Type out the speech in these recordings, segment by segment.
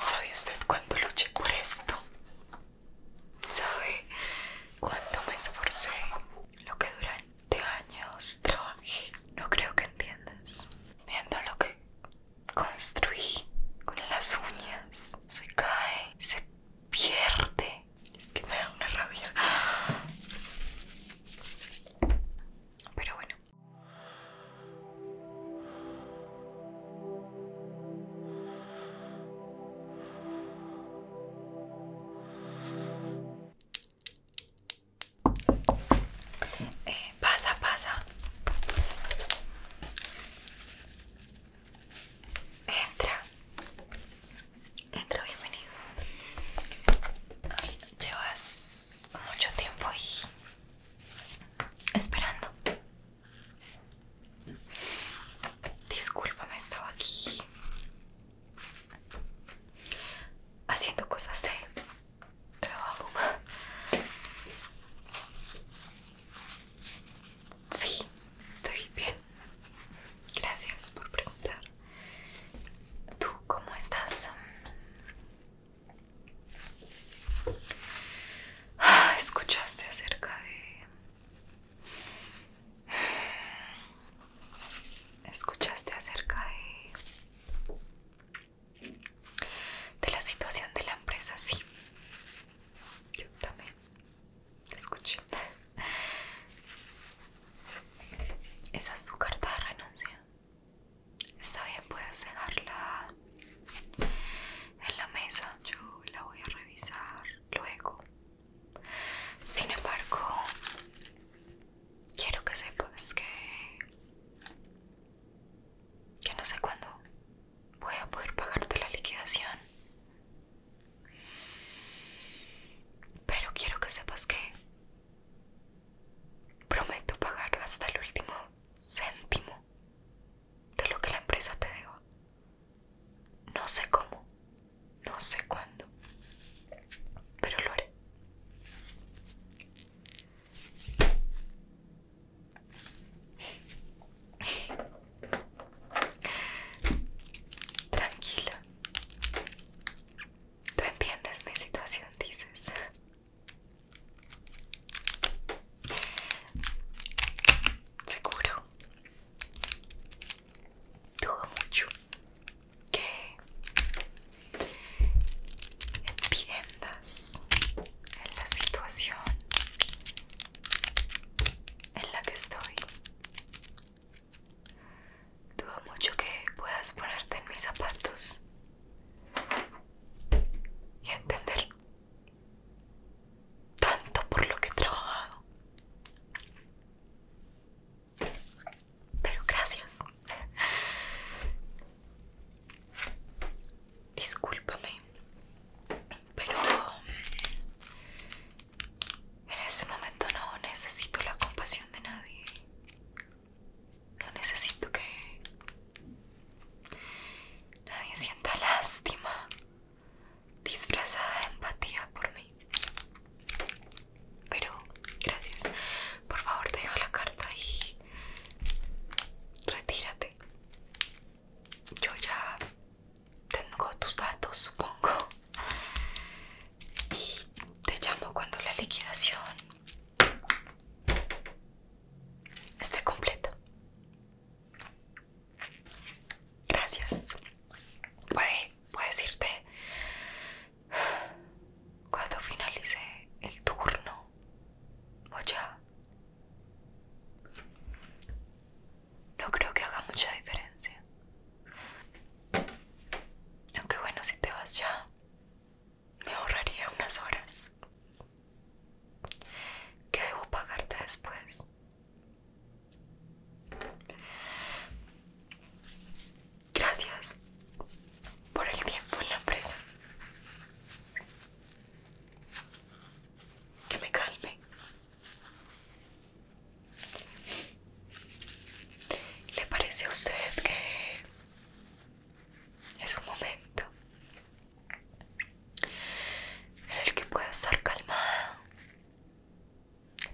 ¿Sabe usted cuánto luché por esto? ¿Sabe cuánto me esforcé? Lo que durante años trabajé. No creo que entiendas. Viendo lo que construí con las uñas. Se cae, se pierde. Es que me da una rabia. Pero bueno, eh, pasa, pasa. Entra. Entra, bienvenido. Llevas mucho tiempo ahí esperando. Discúlpame, estaba aquí haciendo cosas de trabajo. Sí, estoy bien. Gracias por preguntar. ¿Tú cómo estás? Ah, escuchaste acerca de... Escuchaste acerca de... De la situación de la empresa, sí. Yo también. Escuché. Esa es tu carta de renuncia. Está bien, puedes dejarla en la mesa, yo la voy a revisar luego. Sin embargo, quiero que sepas que que no sé cuándo voy a poder pagarte la liquidación. Pero quiero que sepas que prometo pagar hasta el último céntimo de lo que la empresa te deba. No sé cómo, no sé cuándo, pero lo haré. Tranquila. Tú entiendes mi situación, dices. Seguro. Dudo mucho que entiendas en la situación en la que estoy. Dudo mucho que puedas ponerte en mis zapatos y entender tanto por lo que he trabajado. Pero gracias. Discúlpame, pero en este momento no necesito la compasión de nadie. No necesito que Nadie sienta lástima disfrazada de empatía por mí. Pero gracias. Por favor, deja la carta y retírate. Yo ya tengo tus datos, supongo. Y te llamo cuando la liquidación esté completa. Gracias. Puedes, puedes irte cuando finalice el turno. Voy ya. No creo que haga mucha diferencia. Aunque bueno, si te vas ya, me ahorraría unas horas. ¿Qué debo pagarte después? Gracias por el tiempo en la empresa. Que me calme. ¿Le parece a usted que es un momento en el que pueda estar calmada.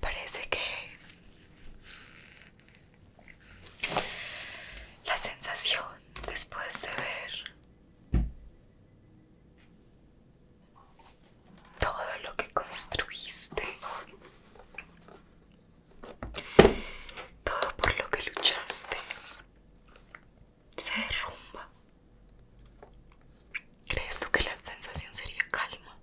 Parece que la sensación después de ver todo lo que construiste, todo por lo que luchaste, se derrumba. ¿Crees tú que la sensación sería calma?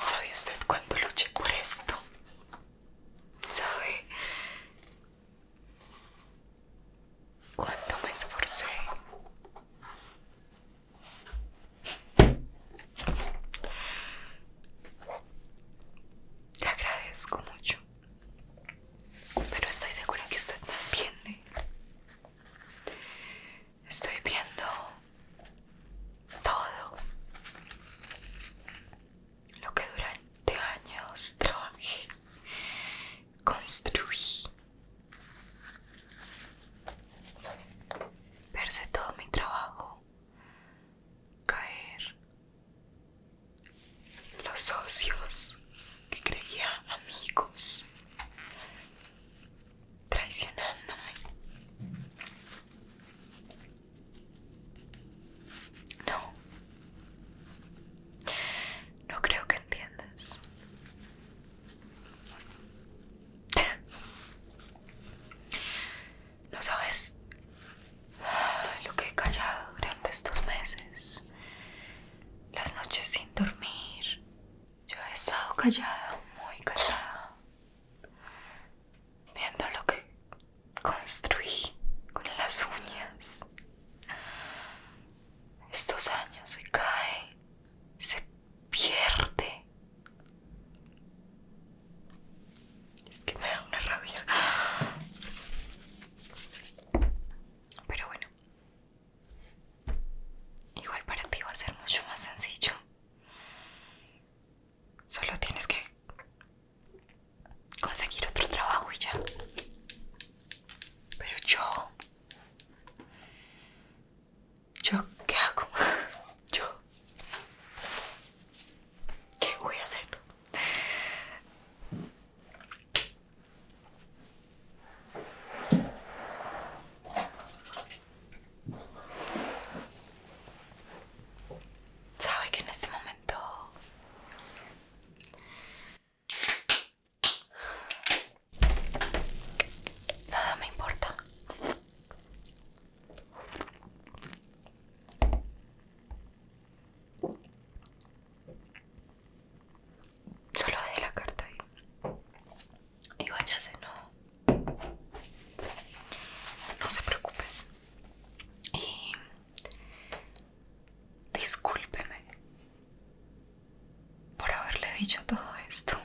¿Sabe usted cuánto luché por esto? ¿Sabe cuánto me esforcé? Te agradezco mucho pero estoy segura que usted me entiende. ¿eh? Estoy viendo todo lo que durante años trabajé, construí. Verse todo mi trabajo caer los socios que creía amigos traicionándome no no creo que entiendas no sabes lo que he callado durante estos meses. Las noches sin dormir. Yo he estado callada, muy callada. Viendo lo que construí con las uñas. Estos años se cae, se pierde. Es que me da una rabia. Pero bueno. Igual para ti va a ser mucho más sencillo. Solo tienes que conseguir otro trabajo y ya. Pero yo... ¿Yo qué hago? Yo... ¿Qué voy a hacer? Sabe que en este momento nada me importa. Solo de la carta ahí. Y váyase, no. No se preocupe. Y discúlpeme por haberle dicho todo esto.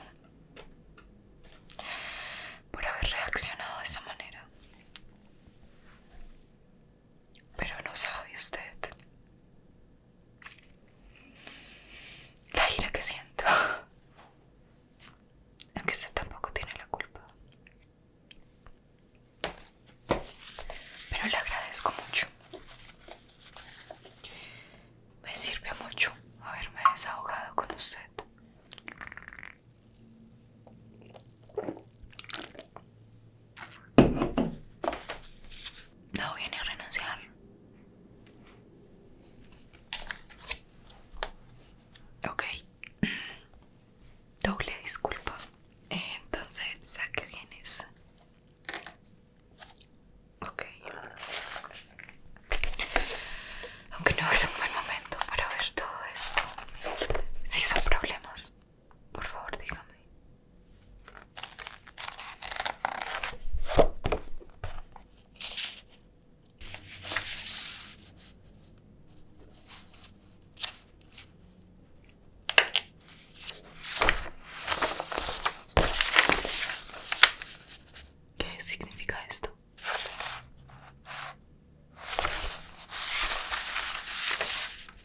Por haber reaccionado de esa manera pero no sabe usted la ira que siento. Aunque usted tampoco tiene la culpa. Pero le agradezco mucho. Me sirve mucho haberme desahogado con usted. No viene a renunciar. Ok. Doble disculpa. Entonces, saque qué vienes? Ok. Aunque no es un buen momento para ver todo esto. Si son problemas, por favor, dígame. ¿Qué significa esto?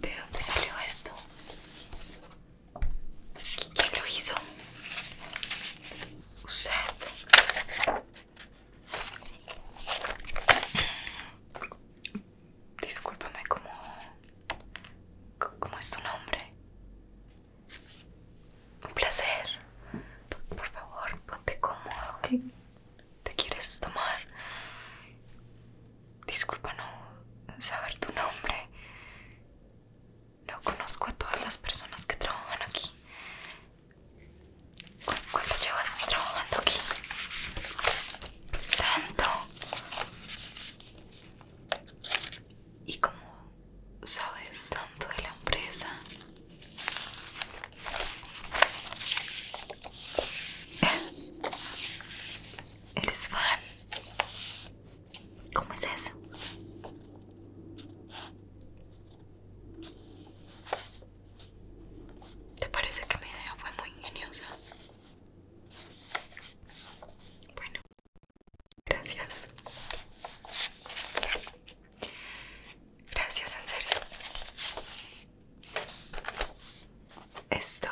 ¿De dónde salió esto? ¿Quién lo hizo? Usted. Discúlpame, ¿cómo, ¿cómo es tu nombre? Un placer. Por, favor, ponte cómodo. ¿Qué te quieres tomar? Disculpa no saber tu nombre. No conozco a todas las personas que trabajan aquí. ¿Cuánto llevas trabajando aquí? Tanto. ¿Y cómo sabes tanto de la empresa? ¿Eres fan? ¿Cómo es eso? ¿Te parece que mi idea fue muy ingeniosa? Bueno, gracias. Gracias, en serio. Esto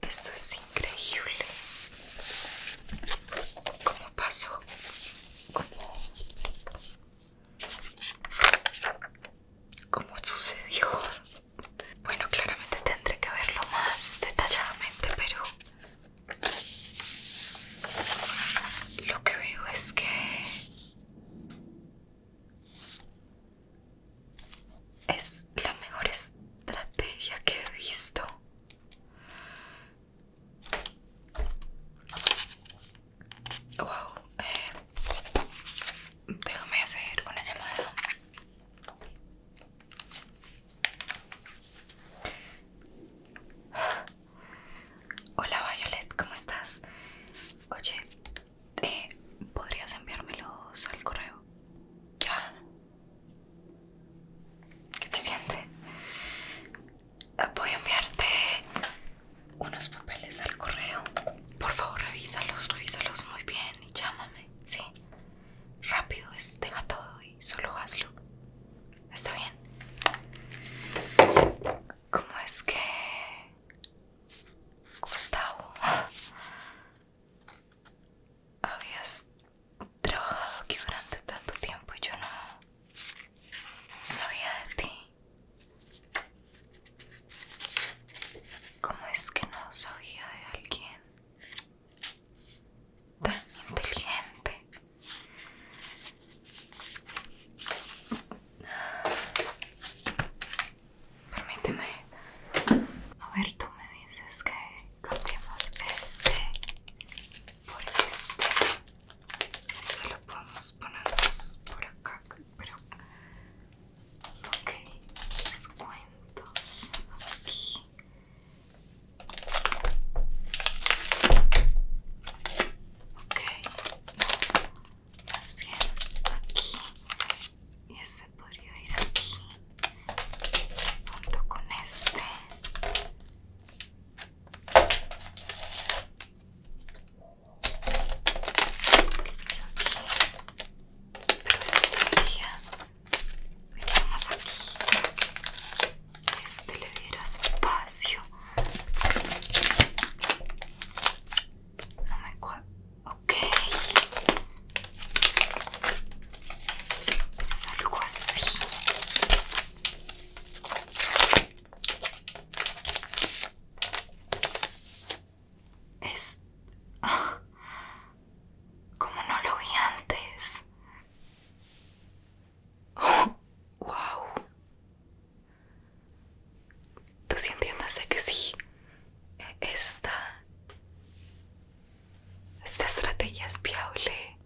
esto es increíble. ¿Cómo pasó? ¿Cómo? ¿Cómo sucedió? Bueno, claramente tendré que verlo más detalladamente, pero lo que veo es que es la mejor estrategia que he visto. Wow. Eh, déjame hacer una llamada. Hola Violet, ¿cómo estás? Oye, eh, ¿Podrías enviármelos al correo? Ya. Qué eficiente. Eh, voy a enviarte unos papeles al correo. Por favor, revísalos, revísalos muy bien y llámame, ¿sí? Rápido, es, deja todo y solo hazlo. ¿Está bien? ¿Cómo es que Gustavo, habías trabajado aquí durante tanto tiempo y yo no sabía de ti. ¿Cómo es que no sabía de alguien tan inteligente? Permíteme. A ver, tú me dices que cambiemos este por este. Esto lo podemos poner más por acá, pero. Ok, descuentos aquí. Ok, más bien aquí y este podría ir aquí junto con este pero este podría ir más aquí este le diera espacio no me cuadra Ok. Es algo así. Es... Ah, como no lo vi antes. Oh, wow. Tú sí entiendes de que sí. Esta, esta estrategia es viable.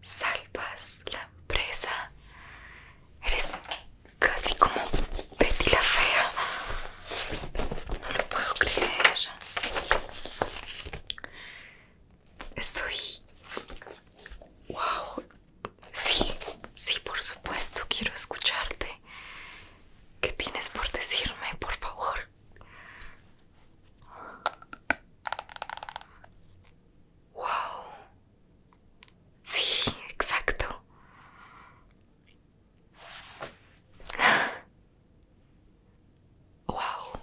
Salvas la empresa. Eres casi como Betty la Fea. No lo puedo creer. Estoy... ¡Wow! Sí, sí, por supuesto, quiero escucharte. ¿Qué tienes por decirme, por favor? Wow. Sí, exacto. Wow.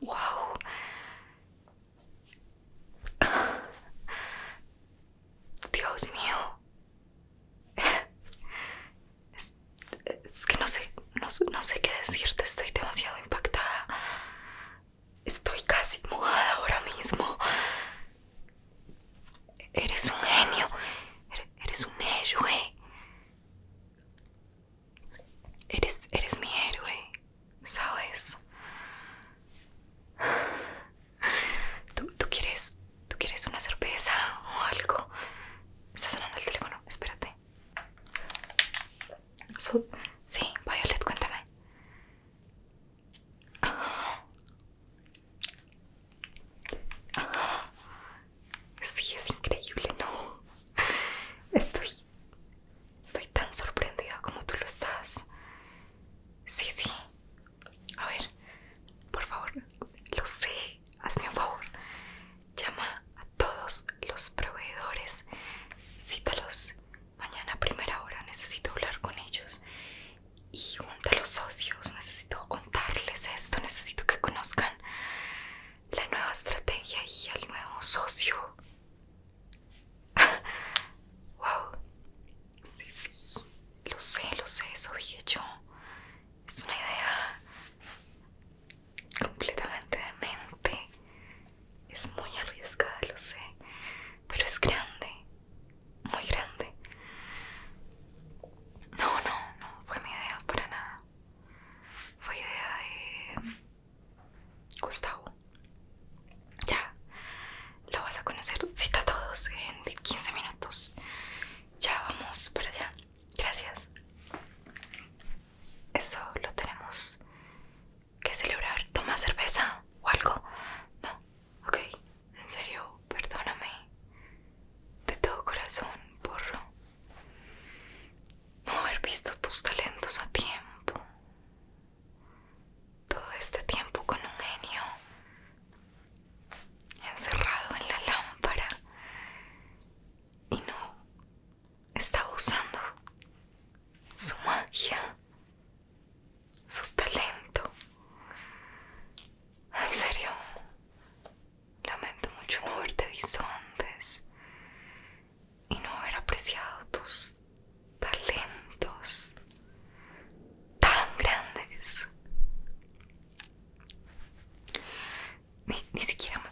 Wow. Dios mío. Es, que no sé, no, no sé qué decirte, estoy demasiado impactada. Estoy casi mojada ahora mismo. Eres un genio. Eres un héroe. Eres, eres mi héroe, ¿sabes? ¿Tú, tú quieres tú quieres una cerveza o algo? Está sonando el teléfono, espérate. sí, Violet, cuéntame. Sí, es increíble, ¿no? Estoy... Estoy tan sorprendida como tú lo estás. Sí, sí, a ver, por favor, lo sé, hazme un favor. Llama a todos los proveedores, cítalos mañana a primera hora, necesito hablar con ellos. Y junta a los socios, necesito contarles esto, necesito que conozcan la nueva estrategia y al nuevo socio. wow, sí, sí, lo sé, lo sé, eso dije yo. Es una idea completamente demente. Es muy arriesgada, lo sé. Pero es grande. Muy grande. No, no, no fue mi idea para nada. Fue idea de... Gustavo. Ya. Lo vas a conocer. Cita a todos en 15 minutos ya vamos para allá. Gracias. Eso lo tenemos que celebrar. ¿Toma cerveza o algo? No, ok. En serio, perdóname. De todo corazón por no haber visto tus talentos a tiempo. Todo este tiempo con un genio encerrado en la lámpara y no estaba usando su magia, su talento. En serio, lamento mucho no haberte visto antes y no haber apreciado tus talentos tan grandes. Ni, ni siquiera me...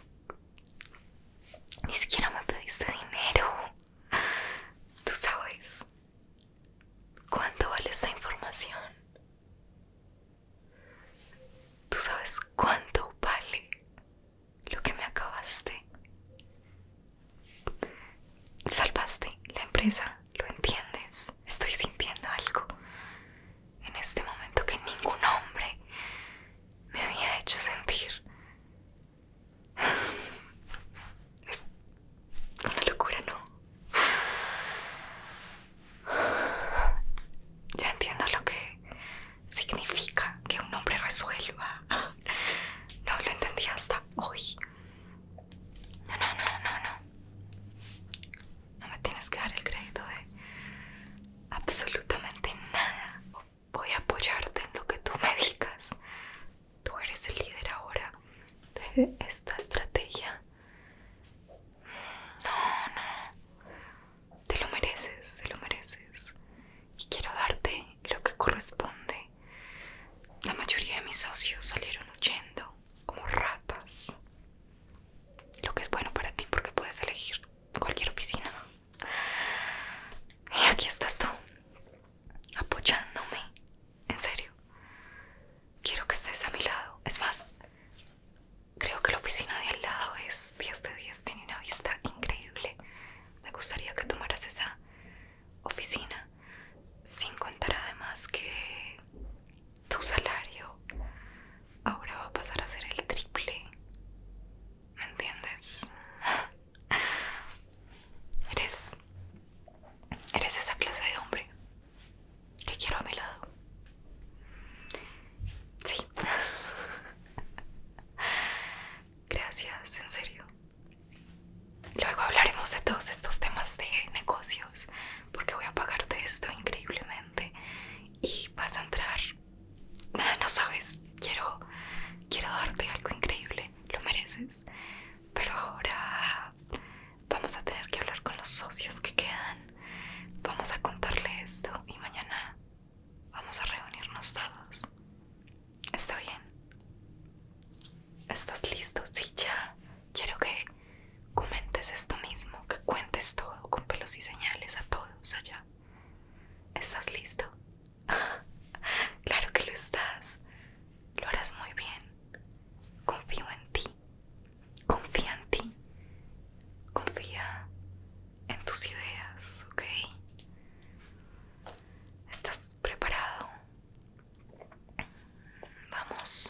Ni siquiera me pediste dinero. Tú sabes. ¿Cuánto vale esta información? ¿Tú sabes cuánto vale lo que me acabaste? Salvaste la empresa. ¿lo entiendes? Estoy sintiendo algo en este momento que ningún hombre me había hecho sentir. Es una locura, ¿no? Ya entiendo lo que significa que un hombre resuelva. No lo entendí hasta hoy. No, no, no, no, no. No me tienes que dar el crédito de absolutamente nada. Voy a apoyarte en lo que tú me digas. Tú eres el líder ahora de esta estrategia. No, no. Te lo mereces, te lo mereces. Y quiero darte lo que corresponde. La mayoría de mis socios salieron huyendo como ratas lo que es bueno para ti porque puedes elegir cualquier oficina. Y aquí estás tú, apoyándome. En serio. Quiero que estés a mi lado. Es más, creo que la oficina de al lado es 10 de 10, tiene una vista increíble. Me gustaría que tomaras esa oficina sin contar además que tu salario ahora va a pasar a ser el triple. ¿Me entiendes? Eres. Eres esa clase de hombre que quiero a mi lado. Sí. Gracias, en serio. Luego hablaremos de todos estos temas de negocios porque voy a pagarte esto increíblemente y vas a entrar. No sabes, quiero, quiero darte algo increíble, lo mereces. Pero ahora vamos a tener que hablar con los socios que quedan. Vamos a contarle esto y mañana vamos a reunirnos todos. ¿Está bien? ¿Estás listo? Sí, ya quiero que comentes esto mismo, que cuentes todo con pelos y señales a todos allá. ¿Estás listo? claro que lo estás. Lo harás muy bien. Confío en ti. Confía en ti. Confía en tus ideas, ¿ok? ¿Estás preparado? Vamos.